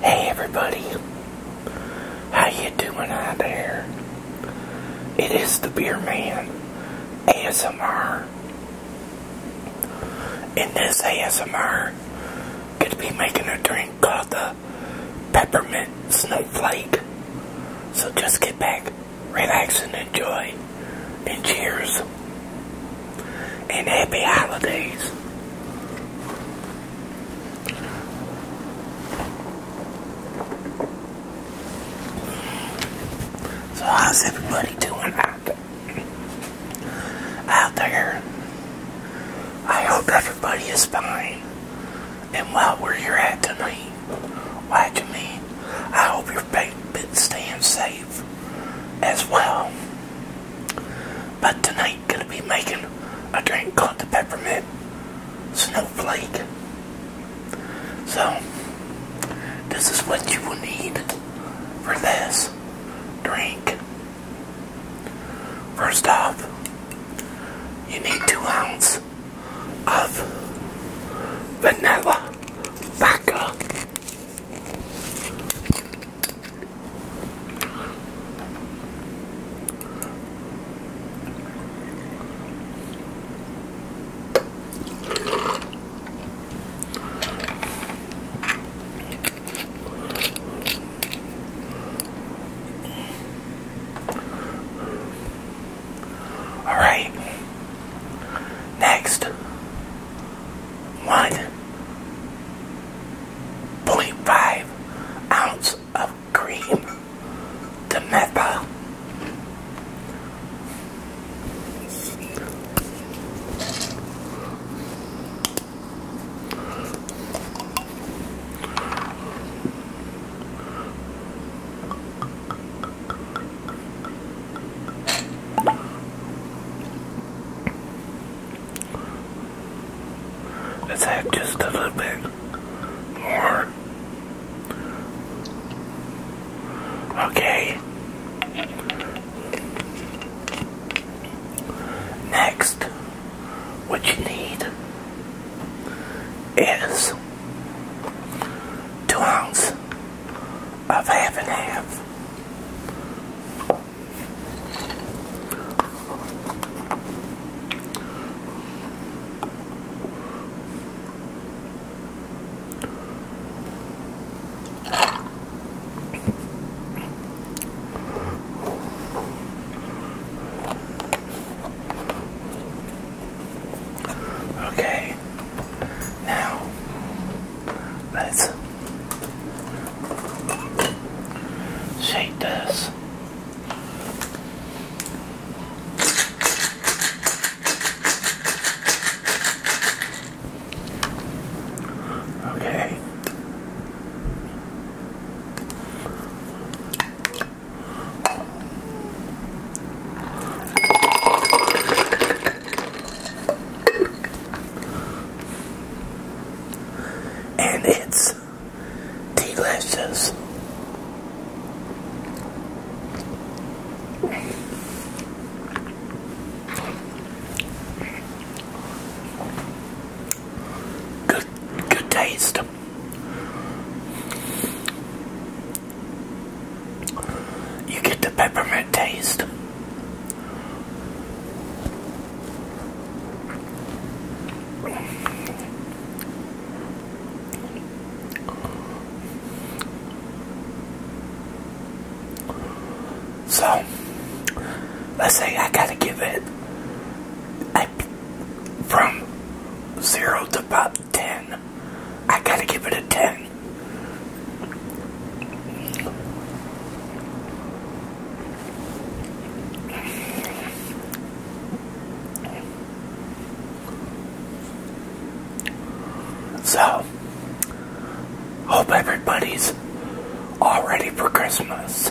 Hey everybody, how you doing out there? It is the Beer Man ASMR. and this ASMR, gonna be making a drink called the Peppermint Snowflake. So just get back, relax, and enjoy. And cheers and happy holidays. So how's everybody doing out, out there? I hope everybody is fine and well where you're at tonight watching me. I hope your pit staying safe as well. But tonight, gonna be making a drink called the peppermint snowflake. So, this is what you will need for this drink. First off, you need two ounces of vanilla vodka. All right. Next, one point five ounce of cream to methyl. Let's have just a little bit more. Okay. Next, what you need is two ounces of half and half. Okay, now let's Shake this. Okay and it's delicious. Good, good taste. You get the peppermint taste. So, let's say I gotta give it from 0 to about 10. I gotta give it a 10. So, hope everybody's all ready for Christmas.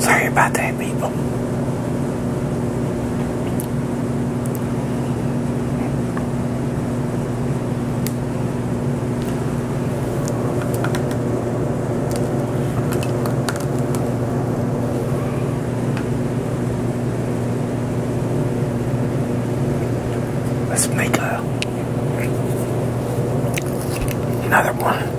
Sorry about that, people. Let's make a another one.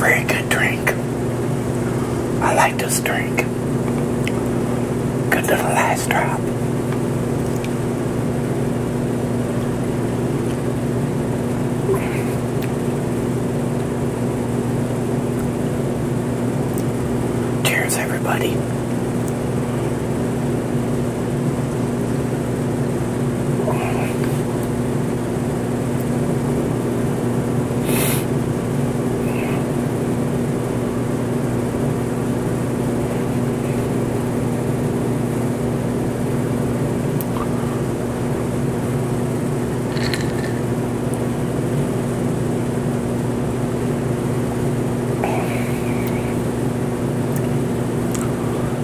Very good drink. I like this drink. Good little last drop. Cheers, everybody.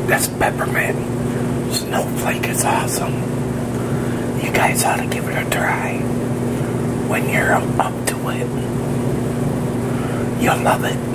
That's peppermint snowflake is awesome. You guys ought to give it a try when you're up to it. You'll love it.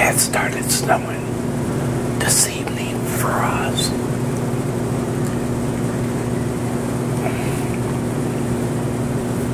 it started snowing this evening for us.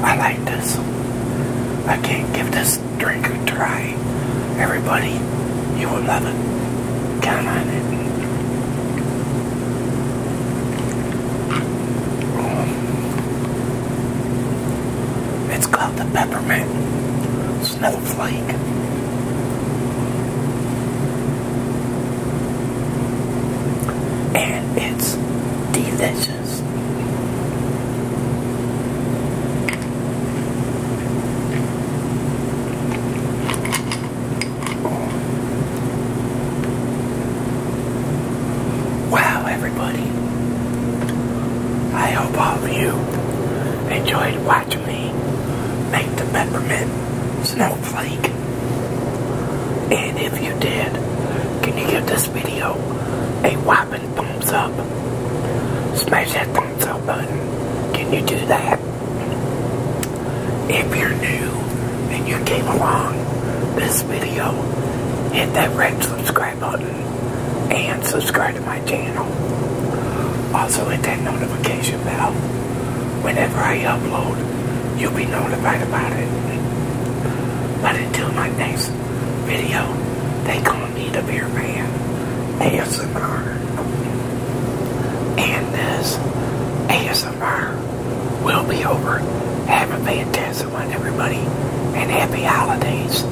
I like this. I can't give this drink a try. Everybody, you will love it. Count on it. It's called the peppermint snowflake. And it's delicious. Wow, everybody. I hope all of you enjoyed watching me make the peppermint snowflake. And if you did, can you give this video a whopping thumbs up? Smash that thumbs up button. Can you do that? If you're new and you came along this video, hit that red subscribe button and subscribe to my channel. Also hit that notification bell. Whenever I upload, you'll be notified about it. But until my next video, they gonna need a beer man. ASMR. And this ASMR will be over. Have a fantastic one, everybody, and happy holidays.